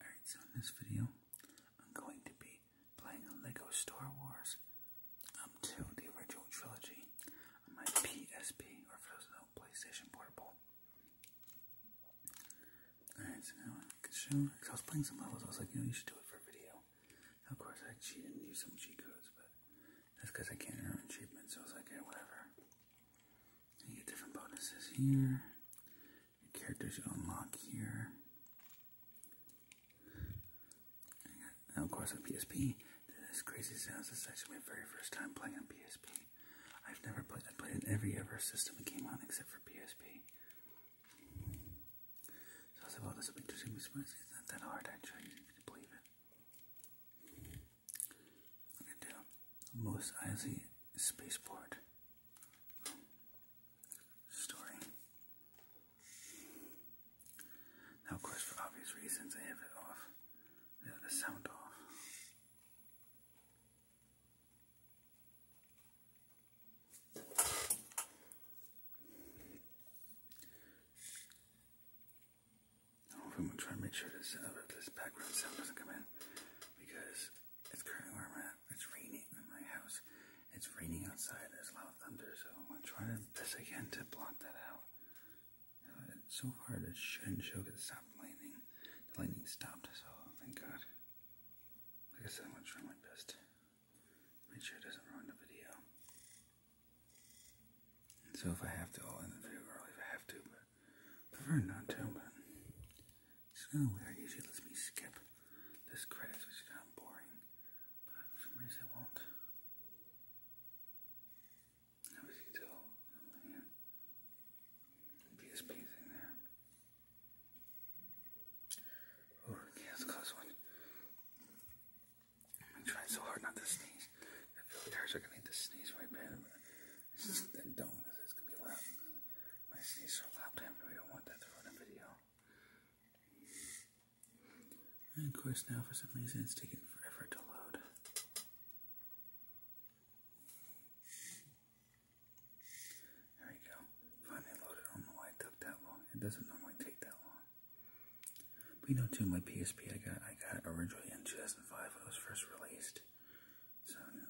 Alright, so in this video, I'm going to be playing a Lego Star Wars up to the original trilogy on my PSP, or for those that know, PlayStation Portable. Alright, so now I can show, because I was playing some levels, I was like, you know, you should do it for a video. of course, I cheated and used some cheat codes, but that's because I can't earn achievements, so I was like, yeah, whatever. You get different bonuses here. characters you unlock here. And of course on PSP. This crazy sounds. This is actually my very first time playing on PSP. I've never played. I played in every ever system it came on except for PSP. So I was like, "Well, this will be interesting." It's not that hard actually. You can believe it. I can do. Most icy Spaceport story. Now, of course, for obvious reasons, they have it off. They the sound off. I'm trying to make sure uh, this background sound doesn't come in because it's currently where I'm at. It's raining in my house. It's raining outside. There's a thunder, so I'm going to try this again to block that out. Uh, so far, it shouldn't show because it stopped lightning. The lightning stopped, so thank God. Like I said, I'm going to try my best. Make sure it doesn't ruin the video. so if I have to, I'll end the video early if I have to, but I prefer not to, but it's kind oh, weird. Usually lets me skip this credits, which is kind of boring, but for some reason it won't. Now as you can tell, thing oh, there. Oh, that's a close one. I'm trying so hard not to sneeze. I feel like I actually need to sneeze right bad, but I don't because it's going to be loud. My sneeze so loud, we don't want that to run a video. And of course, now for some reason it's taking forever to load. There we go. Finally loaded. I don't know it took that long. It doesn't normally take that long. But you know, too, my PSP I got I got originally in 2005 when it was first released. So, you know.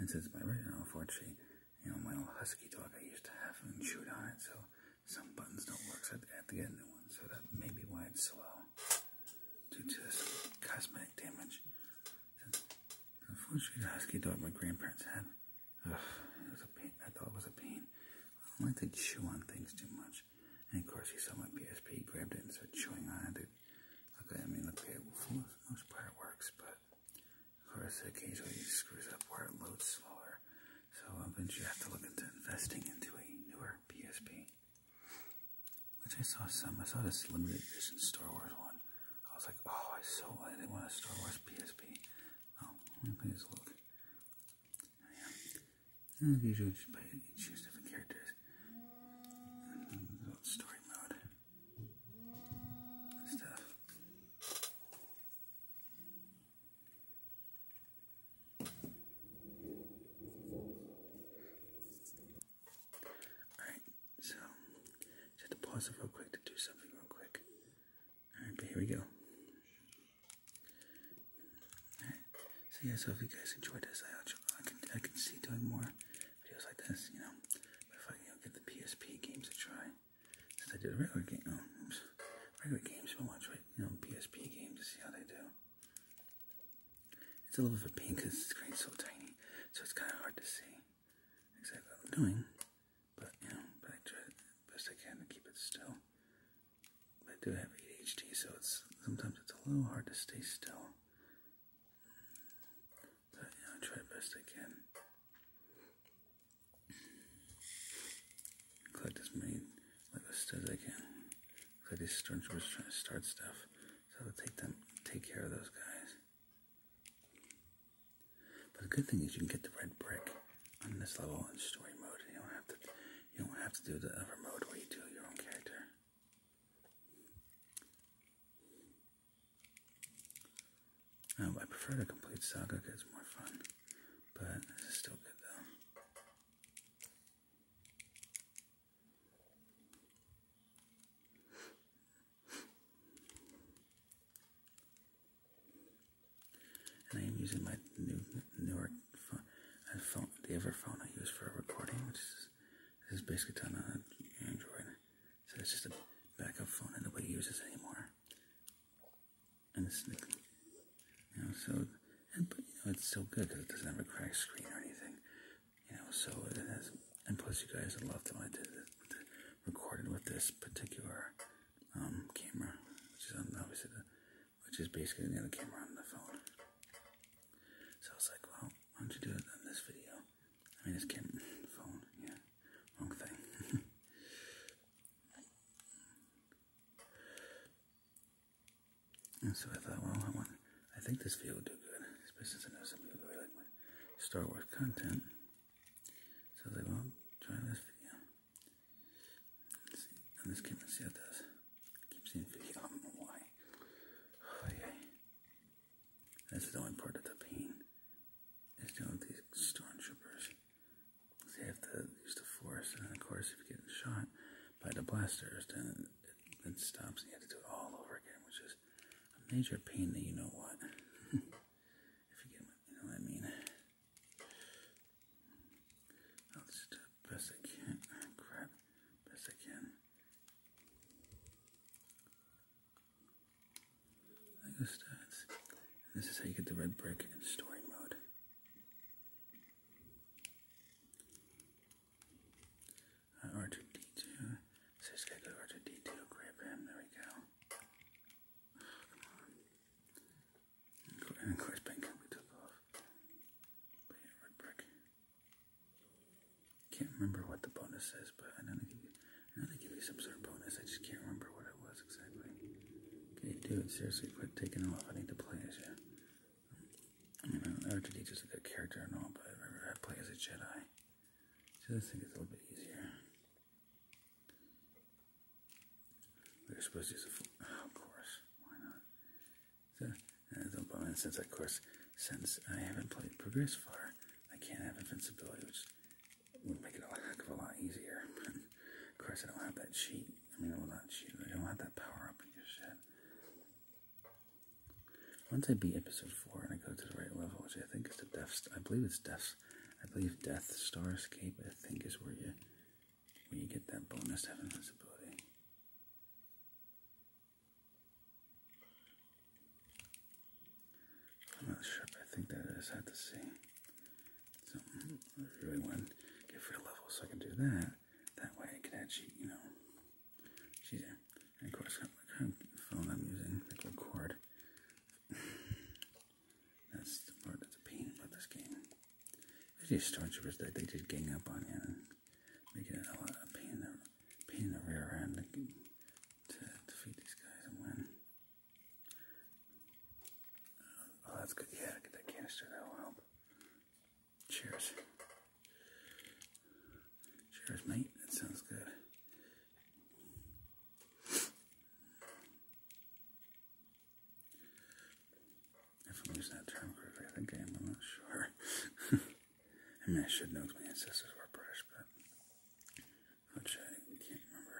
And since my retina, unfortunately, you know, my old husky dog I used to have and chewed on it, so some buttons don't work, so I have to get a new one. So that may be why it's slow due to this cosmetic damage. Since, unfortunately, the husky dog my grandparents had, ugh, it was a pain. That dog was a pain. I don't like to chew on things too much. And of course, he saw my PSP, grabbed it, and started chewing on it. Okay, I mean, okay, for most, most part it works, but of course, occasionally it screws up where it loads slower. So eventually you have to look into investing into a newer PSP. Which I saw some, I saw this limited edition Star Wars one. I was like, oh, I so wanted, I want a Star Wars PSP. Oh, let me just look. Yeah. And usually just play, choose different characters story mode and stuff. Alright, so just to pause it real quick to do something real quick. Alright, but here we go. So yeah, so if you guys enjoyed this, I can I can see doing more videos like this, you know. But if I get the PSP games to try, since I did a regular game, um, regular games, I'll watch you know, PSP games to see how they do. It's a little bit of a pain because the screen's so tiny, so it's kind of hard to see exactly what I'm doing. But you know, I try best I can to keep it still. I do have ADHD, so it's sometimes it's a little hard to stay still. But yeah, I try best I can. Collect as many liquids as I can. Cause like these stormtroopers trying to start stuff, so I'll take them, take care of those guys. But the good thing is you can get the red brick on this level in story mode. You don't have to, you don't have to do the other mode where you do your own character. Um, I prefer to complete saga because it's more fun, but this is still good though. And I am using my new newer uh, phone, the other phone I use for recording, this is basically telling on Android. So it's just a backup phone and nobody uses anymore. And it's, you know, so, and, but, you know, it's so good because it doesn't have a cracked screen or anything. You know, so it has, and plus you guys love when I did recorded with this particular um, camera, which is obviously the, which is basically the other camera on the phone. So it's like, well, why don't you do it on this video? I mean, it's Kim phone, yeah, wrong thing. and so I thought, well, I want. I think this video will do good, especially since I know some people really like my Star Wars content. So they won't try this video. And this came and see how it does. I keep seeing video, I don't know why. Oh, yeah. That's the only part of the pain is dealing with these stormtroopers. They have to use the force, and of course, if you get shot by the blasters, then it, it stops, and you have to do it all over again, which is a major pain. That you know what, if you get, you know I mean. I'll just do best I can. Crap, best I can like the this is how you get the red brick in story mode. Uh, R2D2. So just R2D2, grab him, there we go. come on. And of course, Ben we took off. But yeah, red brick. Can't remember what the bonus is, but I know they give you, I you some sort of bonus. I just can't remember what it was exactly. Okay, dude, seriously, quit taking off. I need to play as you. I don't know d 2 is a good character or not, but I remember I play as a Jedi. So this thing is a little bit easier. We were supposed to use a oh, of course, why not? So, uh, the bonus since, of course, since I haven't played Progress far, I can't have invincibility, which would make it a heck of a lot easier. of course, I don't have that cheat. I mean, well, not cheat. I don't have that power up in Once I beat episode four and I go to the right level, which I think is the death. I believe it's death. I believe Death Star Escape. I think is where you where you get that bonus to have invincibility. I'm not sure, but I think that is. I just had to see. So I really want to get free level so I can do that. That way I can actually, you know, cheat of course, phone I'm using, like record. that's the part that's a pain about this game. They just Star they did gang up on you and make it a lot of pain the, pain in the rear end to defeat these guys and win. Oh, that's good. Yeah, get that canister. That'll help. Cheers. Cheers, mate. That sounds good. If I'm that term I think I am. I'm not sure. I mean, I should know my ancestors were British, but which I can't remember.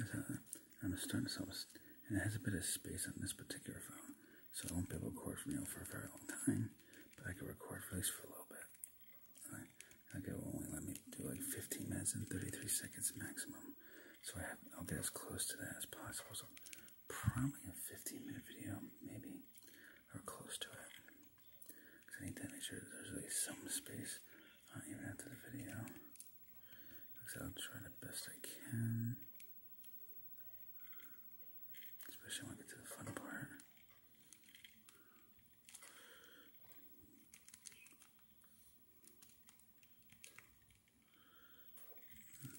A, I'm starting to sell this, it has a bit of space on this particular phone, so I won't be able to record for you for a very long time, but I can record for at least for a little bit. Right. Okay, will let me do like 15 minutes and 33 seconds maximum. So I will get as close to that as possible. So probably a 15 minute video, maybe, or close to it. Because I need to make sure there's at least some space, even after the video. Because I'll try the best I can. Especially when I get to the fun part.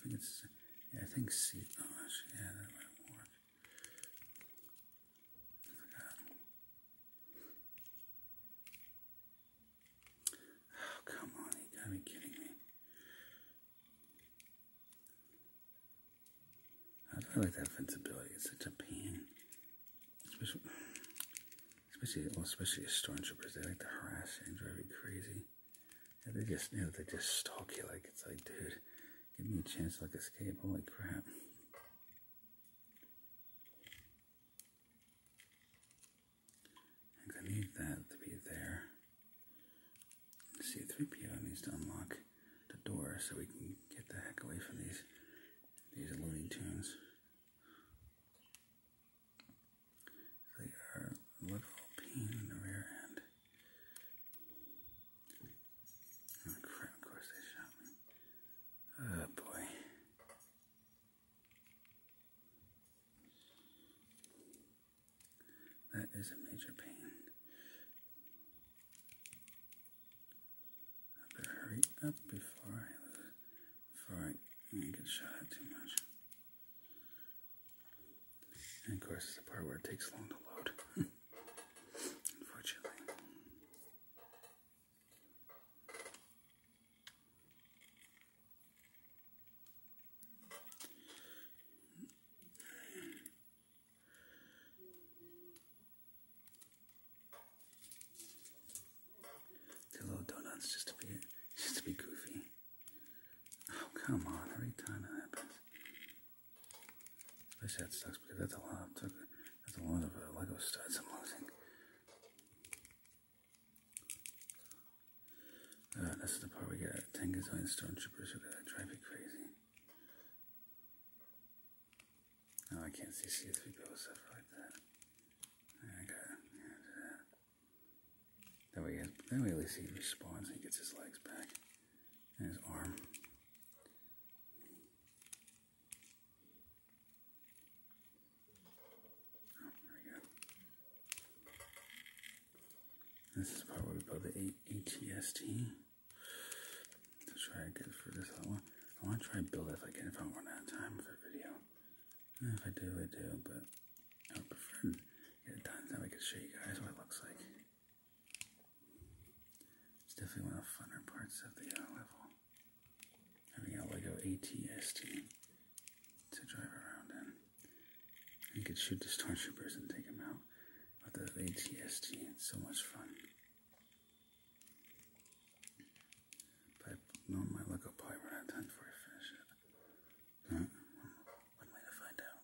I think it's, yeah, I think C, oh, actually, yeah, that might work. I oh, forgot. come on, you gotta be kidding me. I like that flexibility, it's such a pain. Especially, especially, well, especially stormtroopers, they like to harass you and drive you crazy. Yeah, they just, you know, they just stalk you like it's like, dude, give me a chance to like escape. Holy crap! I need that to be there. C-3PO needs to unlock the door so we can get the heck away from these these Looney Tunes. They are literal pain in the rear end. Oh, of course they shot me. Oh boy. That is a major pain. I better hurry up before I, before I get shot too much. And of course, it's the part where it takes long to load. Unfortunately. The little donuts just to be just to be goofy. Oh come on, every time that happens. This that sucks because that's a lot of that's a lot of uh, Lego studs I'm losing. Uh, this is the part we get 10 gazillion stone troopers who gotta drive you crazy. No, oh, I can't see C3PO stuff like that. That way, that way at least he responds and he gets his legs back and his arm. Oh, there we go. This is probably about the ATST. So try good for this one. I want to try build it if I can, if I run out of time with our video. And if I do, I do, but I would prefer to get it done so I can show you guys what it looks like. It's definitely one of the funner parts of the uh, level. Having a Lego ATST to drive around in. You could shoot the stormtroopers and take them out with the ATST. It's so much fun. But normally I look up probably run out before I finish it. Huh? What am I to find out?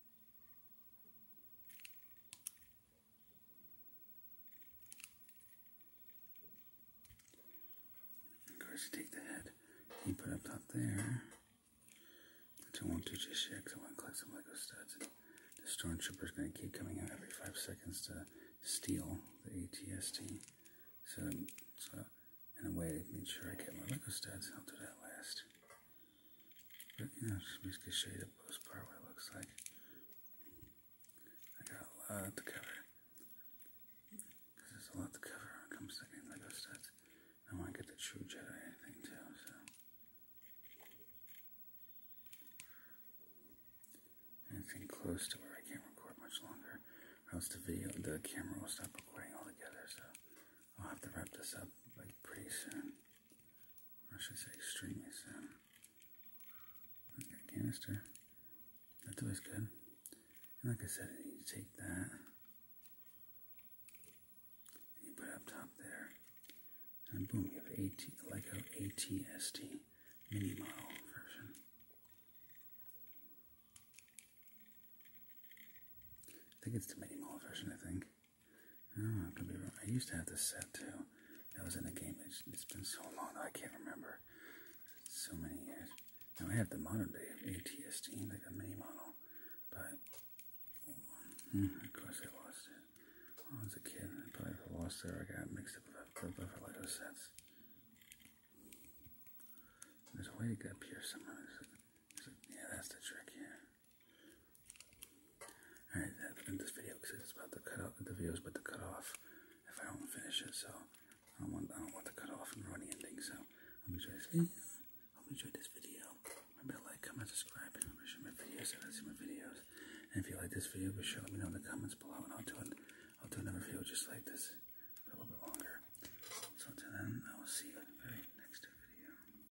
Of course, you take the head you put up top there, I won't do just yet because I want to collect some Lego studs. And the is going to keep coming out every five seconds to steal the ATST. So, so in a way, to make sure I get my Lego studs, I'll do that last. But you know, just basically shade up this part what it looks like. I got a lot to cover. Because there's a lot to cover when it comes to getting Lego sets. I want to get the true Jedi thing too, so. Anything close to where I can't record much longer, else the video, the camera will stop recording altogether, so I'll have to wrap this up like pretty soon. I should say extreme is a canister. That's always good. And like I said, you take that you put up top there, and boom, you have an AT, like a ATST mini model version. I think it's the mini model version. I think. Oh, I could be wrong. I used to have this set too. That was in the game. It's, it's been so long that I can't remember. So many years. Now I have the modern day of ATST, like a mini model, but mm, of course I lost it. When I was a kid, I probably lost it or I got mixed up with a group of Lego sets. There's a way to get up here somewhere. There's a, there's a, yeah, that's the trick here. Alright, that's been this video because it's about to cut off. The video's about to cut off if I don't finish it, so I don't want, I don't want to cut off and ruin the ending. So, hope you enjoyed this video. Hope you enjoyed this video. Remember to like, comment, subscribe, and remember to share my videos if I see my videos. And if you like this video, be sure to let me know in the comments below, and I'll do it. I'll do another video just like this, but a little bit longer. So until then, I will see you in the very next video.